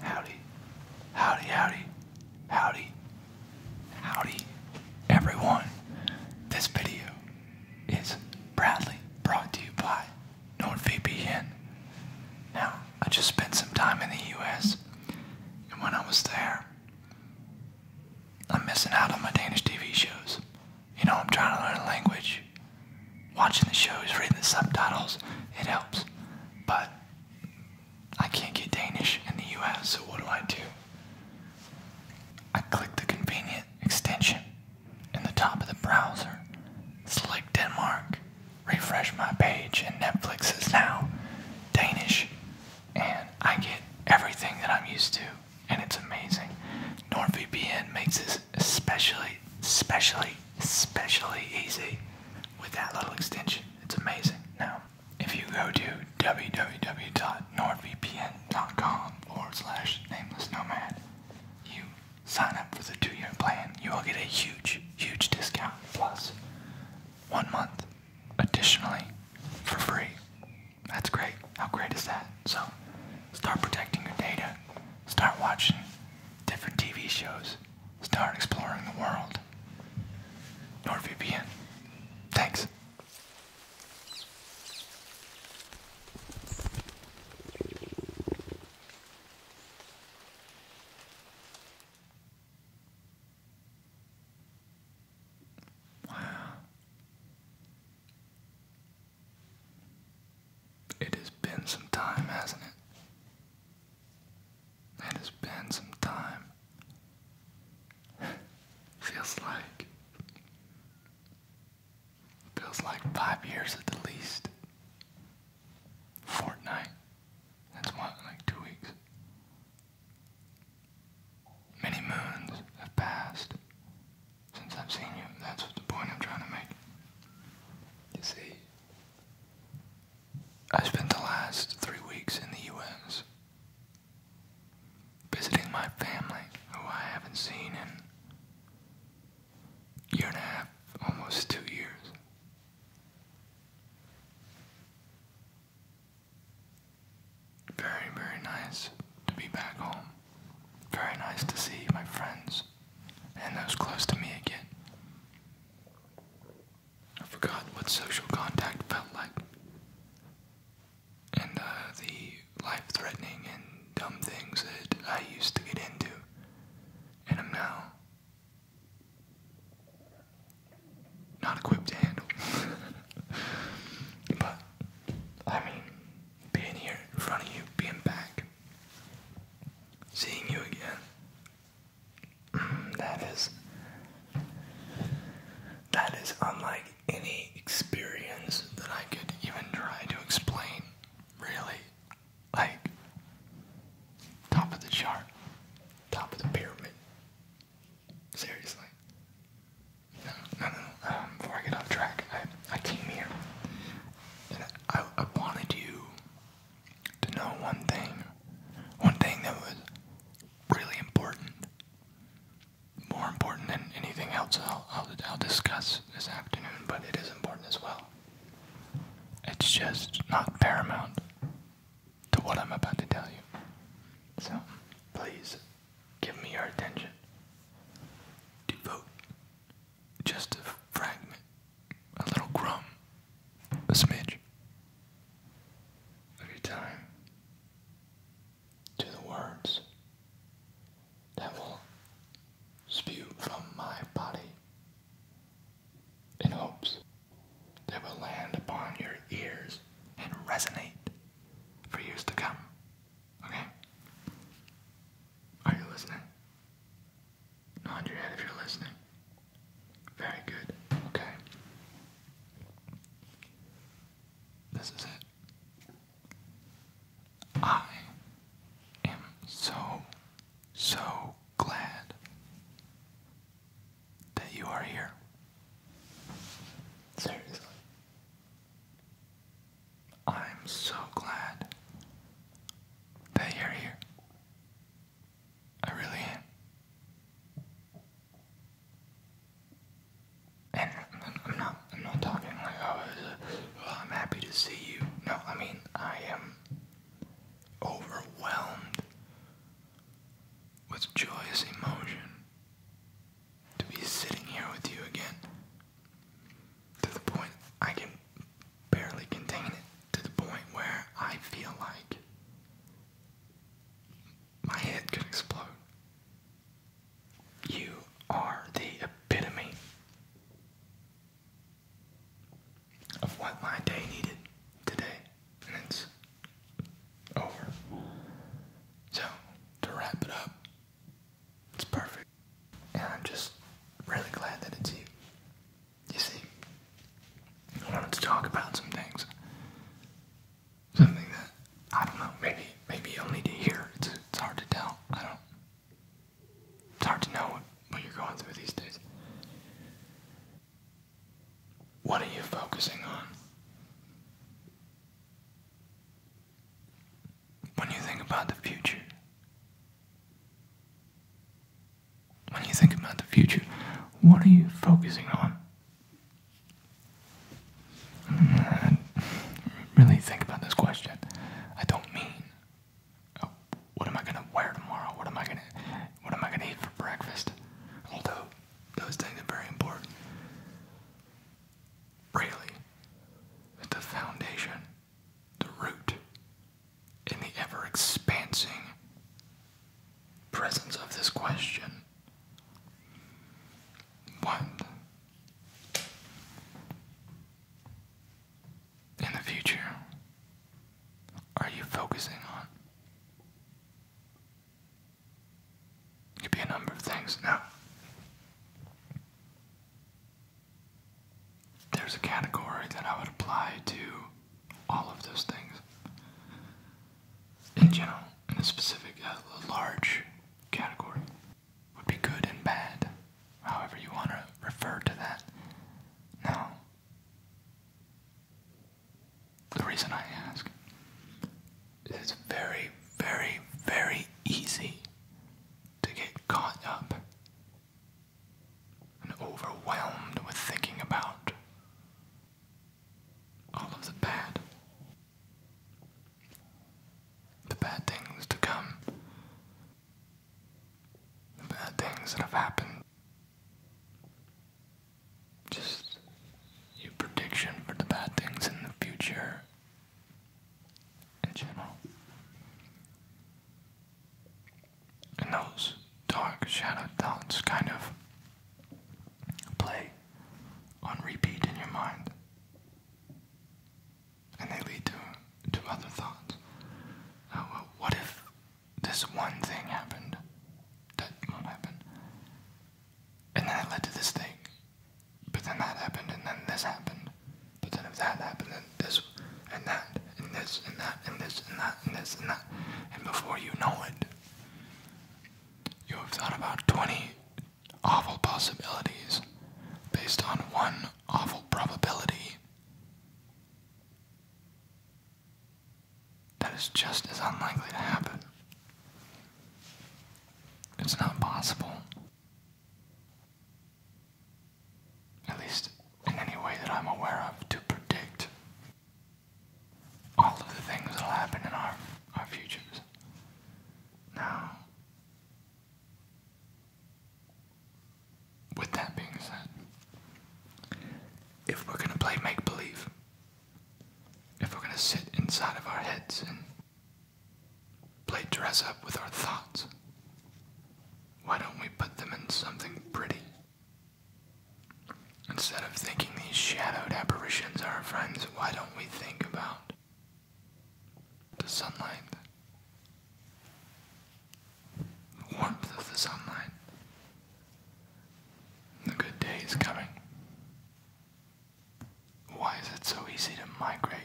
Howdy, howdy, howdy, howdy, howdy, everyone. This video is Bradley brought to you by NordVPN. Now, I just spent some time in the US, and when I was there, I'm missing out on my Danish TV shows. You know, I'm trying to learn a language watching the shows, reading the subtitles, it helps. But I can't get Danish in the US, so what do I do? I click the convenient extension in the top of the browser, select Denmark, refresh my page, and Netflix is now Danish. And I get everything that I'm used to, and it's amazing. NordVPN makes this especially, especially, especially easy with that little extension. It's amazing. Now, if you go to www.nordvpn.com forward slash nameless nomad, you sign up for the two year plan, you will get a huge, huge discount plus one month additionally for free. That's great. How great is that? So, start protecting your data, start watching different TV shows Start exploring the world. NordVPN. Thanks. Wow. It has been some time, hasn't it? It has been some time. feels like. Feels like five years at the least. Fortnite. That's what, like two weeks. Many moons have passed since I've seen you. That's what the point I'm trying to make. You see, I spent the last three weeks in the US visiting my family, who I haven't seen in a year and a half, almost two years. Very, very nice to be back home. Very nice to see my friends and those close to me again. I forgot what social contact felt like. And uh, the life threatening and dumb things that I used to get into and i am now not equipped to handle. but, I mean, being here in front of you, being back, seeing you again, that is that is unlike any experience that I could even try to explain, really. Like top of the chart, top of the pyramid. Seriously. No, no, no. Um, before I get off track, I, came here and I wanted you to know one thing, one thing that was really important, more important than anything else I'll, discuss this afternoon, but it is important as well. It's just not paramount to what I'm about to tell you. So please give me your attention. Devote just a fragment, a little crumb, a smidge of your time to the words that will spew from my body in hopes that will land upon your ears and resonate for years to come. Okay? Are you listening? Nod your head if you're listening. Very good. Okay. This is it. I am so, so glad that you are here. Seriously. I'm so glad that you're here. I really am. And I'm not, I'm not talking like, oh, well, I'm happy to see you. No, I mean, I am overwhelmed with joyous emotion to be sitting here with you again. To the point I can barely contain it to the point where I feel like my head could explode. You are the epitome of what my day needed today, and it's over. So, to wrap it up, it's perfect. And I'm just really glad that it's you. You see, I wanted to talk about some things. Something that, I don't know, maybe maybe you'll need to hear. It's, it's hard to tell. I don't. It's hard to know what, you're going through these days. What are you focusing on? When you think about the future, when you think about the future, what are you focusing on? Mm, really think about this question. I don't mean oh, what am I gonna wear tomorrow? What am I gonna what am I gonna eat for breakfast? Although those things are very important. Really, it's the foundation, the root in the ever expansing presence of this question. What in the future are you focusing on? could be a number of things. Now, there's a category that I would apply to all of those things in general, in a specific, a uh, large category would be good and bad, however you want to refer to that. Now, the reason I ask is very, very, very easy to get caught up and overwhelmed with thinking about all of the bad. The bad things to come. The bad things that have happened. Just your prediction for the bad things in the future in general. And those dark shadow thoughts kind of play on repeat in your mind. And they lead to, to other thoughts. Uh, what if this one thing happened that won't happen? And then it led to this thing. But then that happened, and then this happened. But then if that happened, and this and that and this and that and this and that and this and that. And before you know it, you have thought about 20 awful possibilities based on one awful probability. That is just as unlikely to happen. It's not possible at least in any way that I'm aware of, to predict all of the things that'll happen in our, our futures. Now, with that being said, if we're gonna play make believe, if we're gonna sit inside of our heads and play dress up with our thoughts, why don't we put them in something pretty Instead of thinking these shadowed apparitions are our friends, why don't we think about the sunlight? The warmth of the sunlight. The good day is coming. Why is it so easy to migrate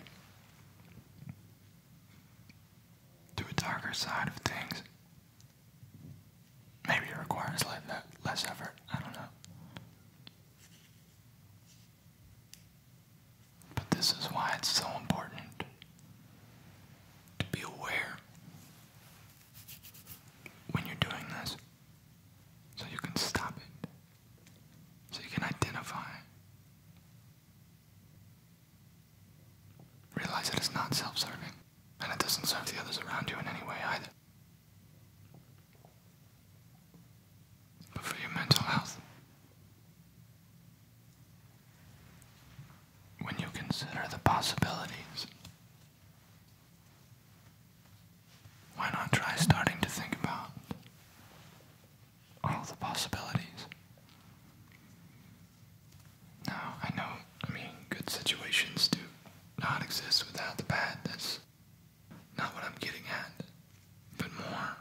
to a darker side of things? Maybe it requires less effort. I don't know. But this is why it's so important to be aware when you're doing this so you can stop it, so you can identify Realize it is not self serving, and it doesn't serve the others around you in any way either. But for your mental health, when you consider the possibilities, why not try starting to think about all the possibilities now, I know, I mean, good situations do not exist without the bad. That's not what I'm getting at. But more,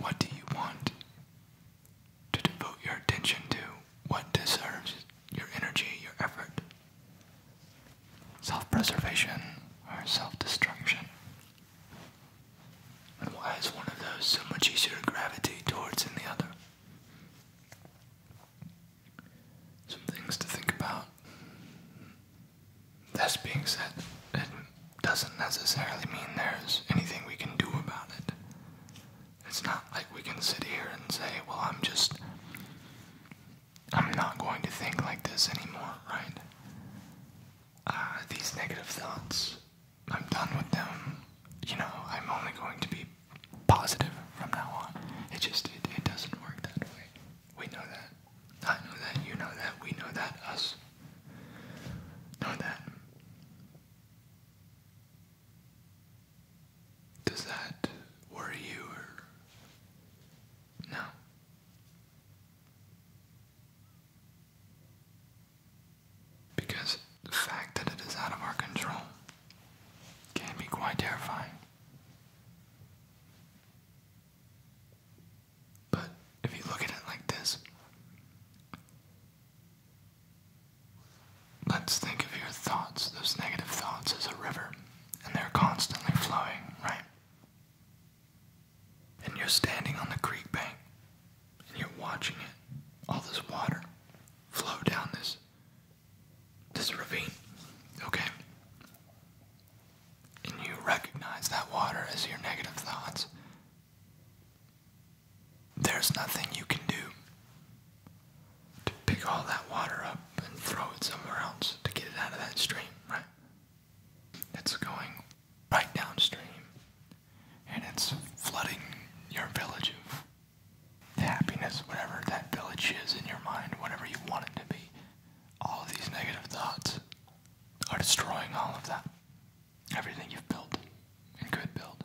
what do you want to devote your attention to? What deserves your energy, your effort? Self preservation or self destruction? And why is one of those so much easier to gravitate towards than the other? Some things to think about. That's being said, it doesn't necessarily mean there's anything we can do about it. It's not like we can sit here and say, well, I'm just. I'm not going to think like this anymore, right? Uh, these negative thoughts I'm done with them. You know, I'm only going to be positive from now on. It just it, doesn't work that way. We know that. I know that. You know that. We know that. Us know that. Does that worry you no? Because the fact that it is out of our control can be quite terrifying. But if you look at it like this, let's think of your thoughts, those negative thoughts, as a river, and they're constantly flowing, right? And you're standing on the creek bank, and you're watching it, all this water flow down this this ravine, okay? And you recognize that water as your negative thoughts. There's nothing you can do to pick all that water up and throw it somewhere else to get it out of that stream, right? It's going right downstream and it's flooding your village of the happiness, whatever that village is in your mind, whatever you want it to be, all of these negative thoughts are destroying all of that. Everything you've built and could build.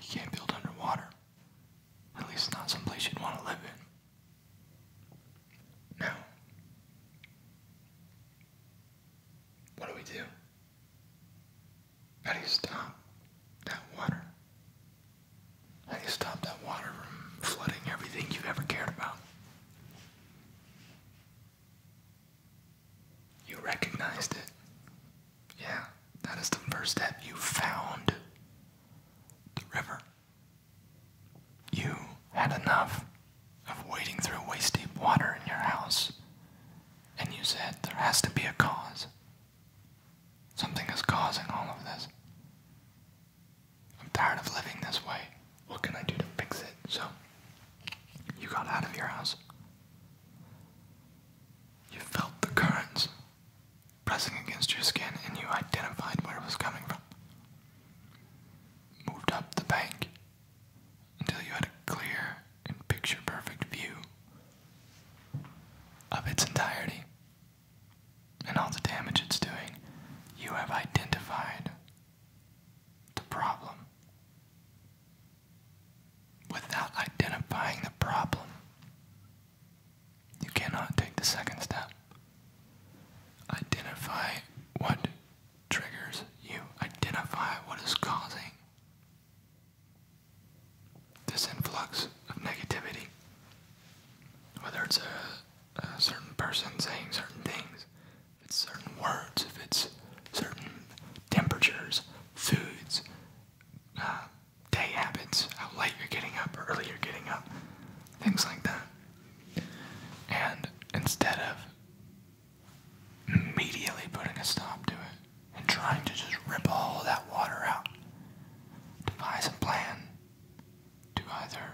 You can't build underwater. At least not someplace you'd want to live in. Now, what do we do? How do you stop that water? How do you stop that water from flooding everything you ever cared about? You recognized it. Yeah, that is the first step. You found the river. You had enough of wading through waist deep water in your house, and you said, There has to be a cause. Something is causing all of this. I'm tired of living this way. What can I do to fix it? So, you got out of your house. You felt the currents pressing against your skin and you identified where it was coming from. Moved up the bank until you had a clear and picture perfect view of its entirety and all the damage it's doing. You have identified the problem. Without identifying the problem, you cannot take the second step. Identify what triggers you, identify what is causing this influx of negativity, whether it's a, certain person saying certain things, if it's certain words, if it's certain temperatures, foods, uh, day habits, how late you're getting up early you're getting up, things like that. And instead of immediately putting a stop to it, and trying to just rip all that water out. Devise a plan to either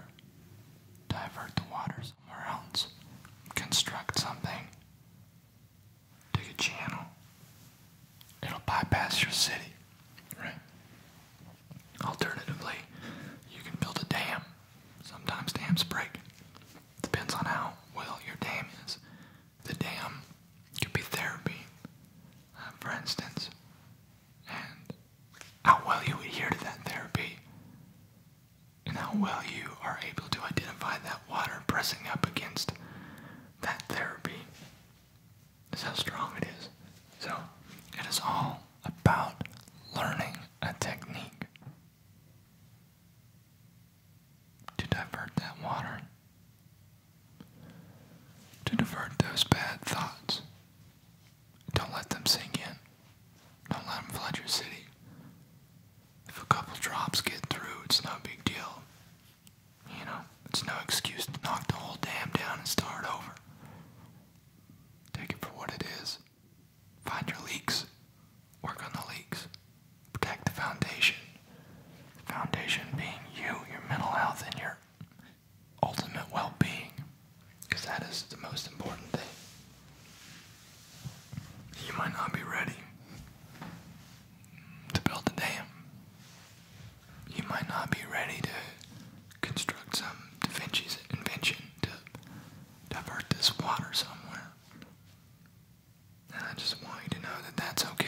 divert the water somewhere else, construct something, dig a channel. It'll bypass your city, right? Alternatively, you can build a dam. Sometimes dams break. Depends on how well your dam is the dam could be therapy, uh, for instance, and how well you adhere to that therapy, and how well you are able to identify that water pressing up against that therapy is how strong it is. So, it is all about learning a technique to divert that water, to divert those bad thoughts. Don't let them sink in. Don't let them flood your city. If a couple drops get through, it's no big deal. You know, it's no excuse to knock the whole dam down and start over. Take it for what it is. Find your leaks. Work on the leaks protect the foundation. The foundation being you, your mental health, and your ultimate well being. Because that is the most important thing. You might not be ready to build a dam. You might not be ready to construct some Da Vinci's invention to divert this water somewhere. I just want you to know that that's okay.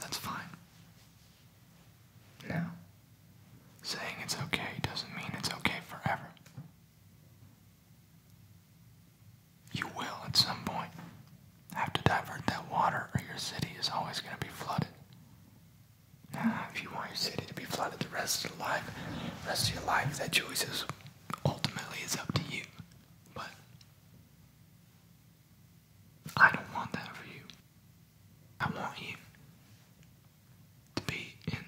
That's fine. Now, saying it's okay doesn't mean it's okay forever. You will, at some point, have to divert that water or your city is always going to be flooded. Now, if you want your city to be flooded the rest of your life, rest of your life, that choice is ultimately is up to you. But I don't want that for you. I want you to be in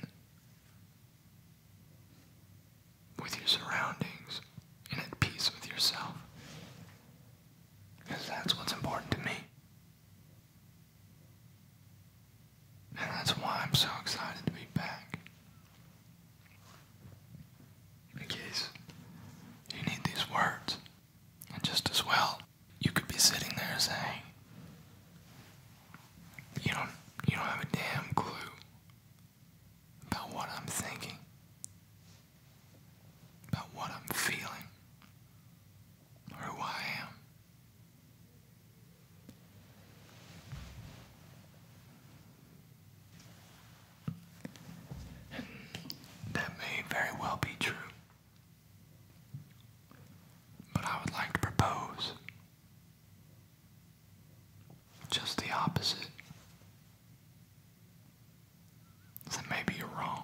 with your surroundings and at peace with yourself. Because that's what's important to me. And that's why I'm so excited to be back. In case you need these words. And just as well, you could be sitting there saying, You don't you don't have a damn clue about what I'm thinking, about what I'm feeling, or who I am that may very well be true. But I would like to propose just the opposite. So maybe you're wrong.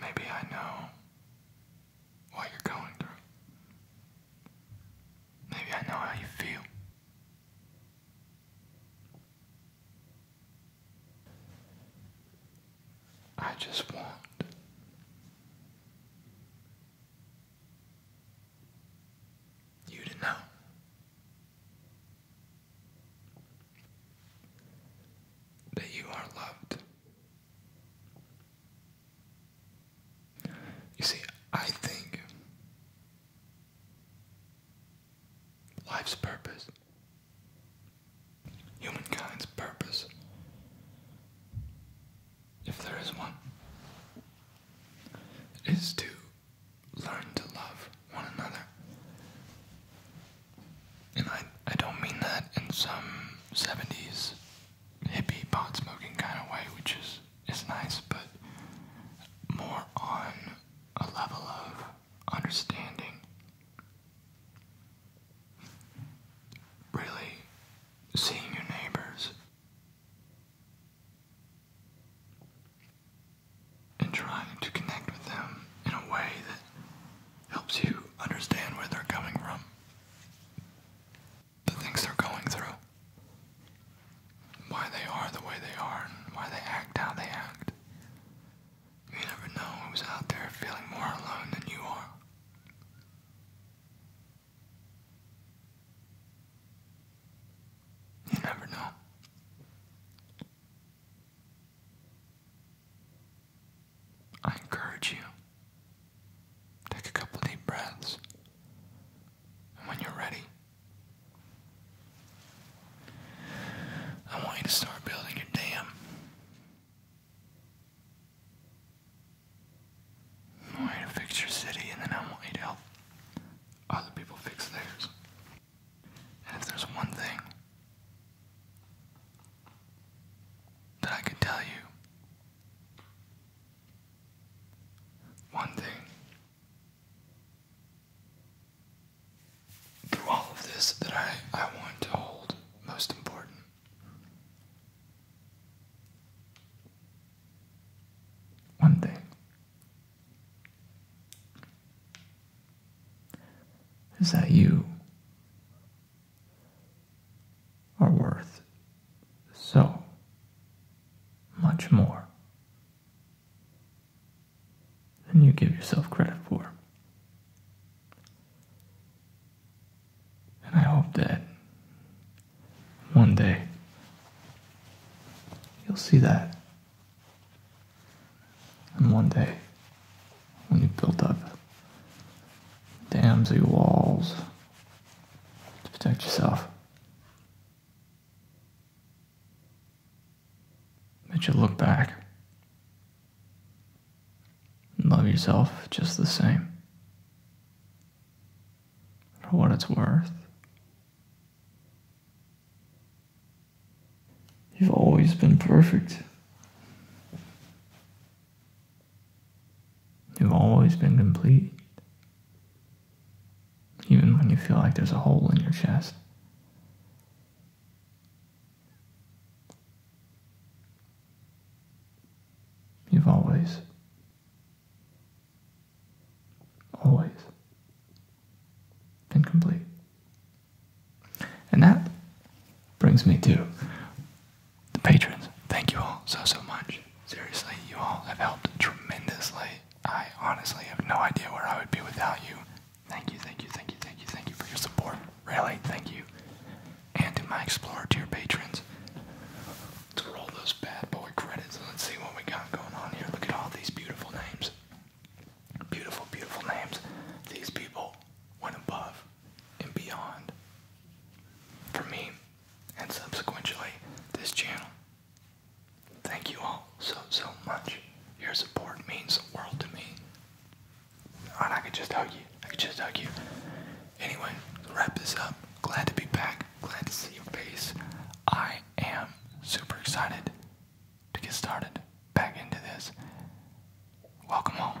Maybe I know what you're going through. Maybe I know how you feel. I just want you to know that you are loved. You see, I think life's purpose, humankind's purpose, if there is one, is to learn to love one another. And I, I don't mean that in some 70s hippie pot smoking kind of way, which is is nice, but more on a level of understanding. Really seeing your neighbors and trying to connect with them in a way that helps you understand where they're coming from the things they're going through, why they are the way they are, and why they act how they act. You never know who's out there feeling more alone than you are. You never know. I encourage you. Take a couple deep breaths. And when you're ready, I want you to start building your dam. I want you to fix your city, and then I want you to help other people fix theirs. And if there's one thing that I could tell you one thing through all of this that I, I want to hold most important one thing is that you are worth so much more than you give yourself credit for. And I hope that one day you'll see that. And one day, when you build up dams or walls to protect yourself, but you look back and love yourself just the same for what it's worth. You've always been perfect. You've always been complete even when you feel like there's a hole in your chest. You've always, always been complete. And that brings me to the patrons. Thank you all so, so much. Seriously, you all have helped tremendously. I honestly have no idea where I would be without you. Thank you, thank you, thank you, thank you, thank you for your support. Really, thank you. And in my Explorer, to your patrons. Let's roll those bad boy credits let's see what we got going on here. Look at all these beautiful names. Beautiful, beautiful names. These people went above and beyond for me and subsequently this channel Thank you all so, so much. Your support means the world to me. And I could just hug you. I could just hug you. Anyway, wrap this up. Glad to be back. Glad to see your face. I am super excited to get started back into this. Welcome home.